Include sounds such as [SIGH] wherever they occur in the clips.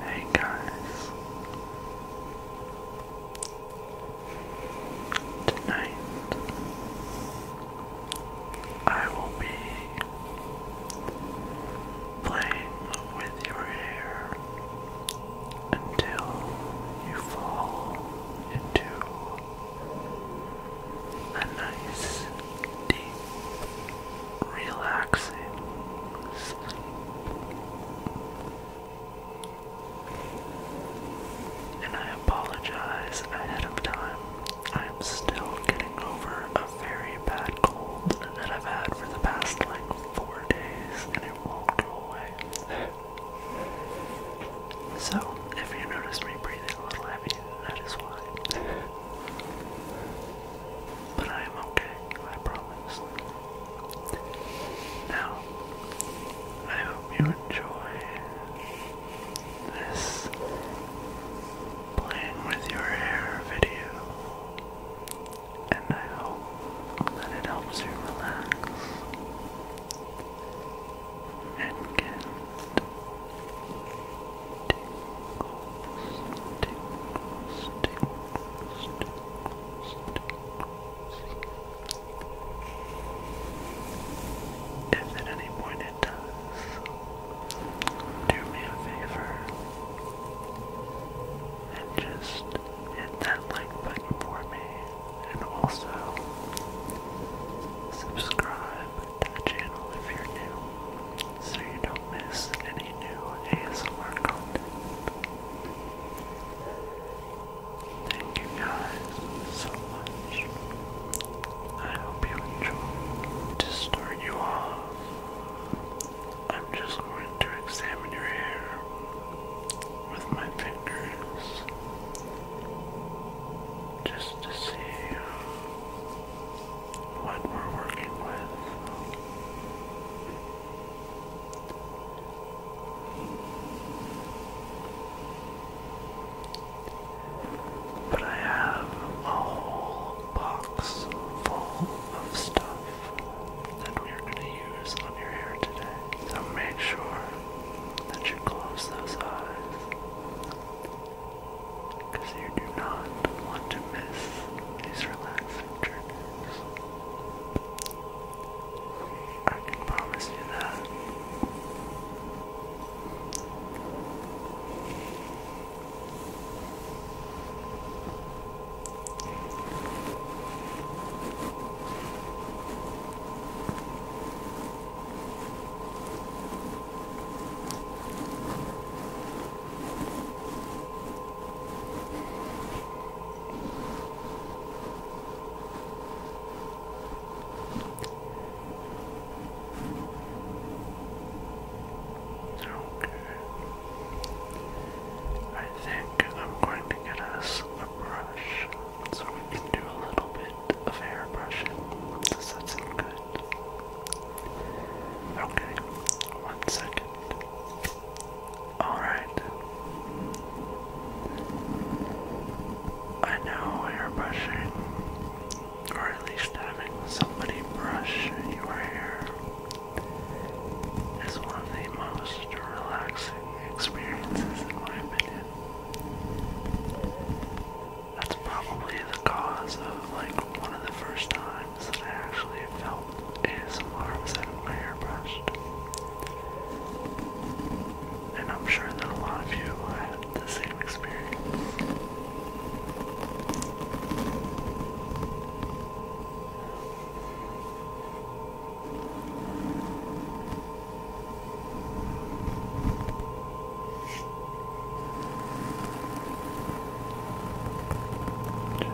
Hey guys, tonight I will be playing with your hair until you fall into a nice, deep, relaxing sleep. And I apologize ahead of time. I'm still getting over a very bad cold that I've had for the past like four days and it won't go away. So, if you notice me breathing a little heavy, that is why. but I am okay, I promise. Now, I hope you enjoy this playing with your hair video. And I hope that it helps you relax and get tingles, tingles, tingles, tingles, tingles. If at any point it does, do me a favor and just hit that like button for me and also subscribe to the channel if you're new so you don't miss any new ASMR content. Thank you guys so much. I hope you enjoy. To start you off, I'm just going to examine your hair with my fingers just to see what we're working with. But I have a whole box full of stuff that we're going to use on your hair today. So make sure that you close those eyes because you do not want to miss these relaxing journeys. I can promise you that. Okay. I think I'm going to get us a brush. So we can do a little bit of hair brushing that's in good. Okay, one second. Alright. I know hair brushing, or at least having somebody brush your hair, is one of the most relaxing experiences, in my that's probably the cause of like one of the first times that I actually felt ASMR arms out of my airbrush. And I'm sure that a lot of you had the same experience.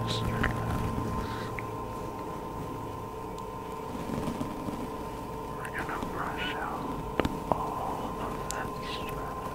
Just relax. We're gonna brush out all of that stress.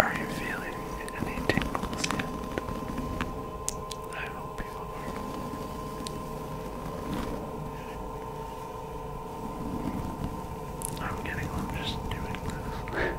Are you feeling any tingles yet? I hope you are. I'm getting on just doing this. [LAUGHS]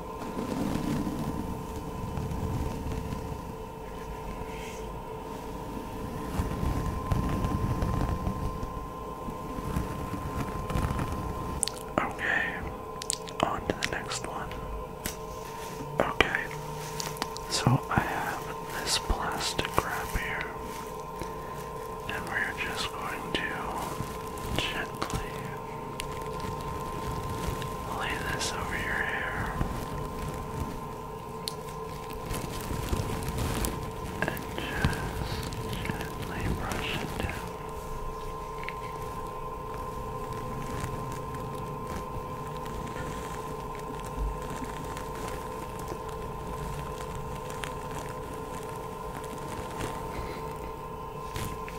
Okay, on to the next one. Okay, so I have this plastic wrap here, and we're just going to gently Lay this over your hair. And just gently brush it down.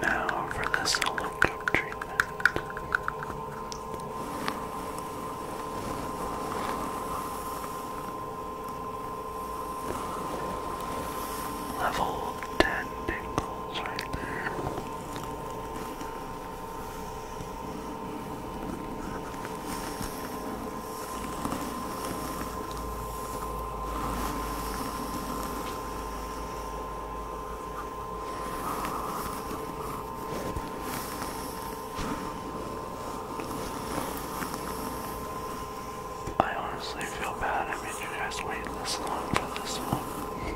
Now for the solo treatment. Level 10 pingles right there. I honestly feel bad I made you guys wait this long for this one.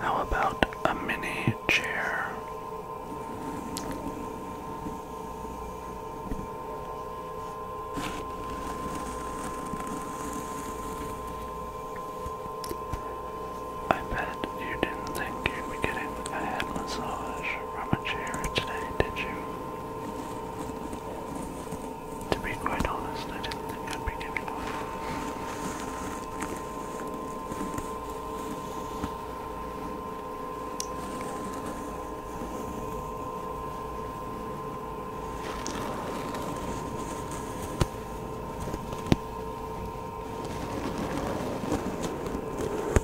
How about a mini chair? I bet you didn't think you'd be getting a head massage rummage here today, did you? To be quite honest, I didn't think I'd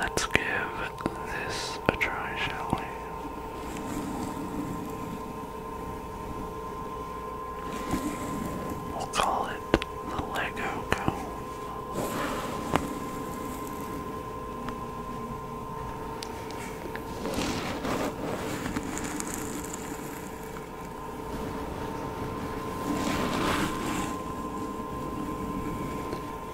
Let's give this a try, shall we? We'll call it the Lego Comb.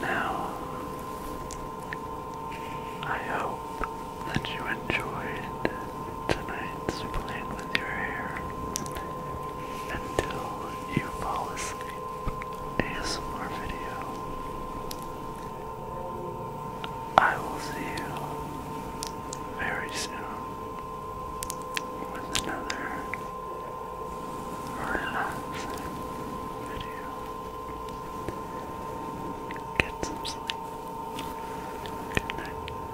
Now, I hope that you enjoyed tonight's plan with your hair until you fall asleep. ASMR video. I will see you very soon with another relaxing video. Get some sleep. Good night.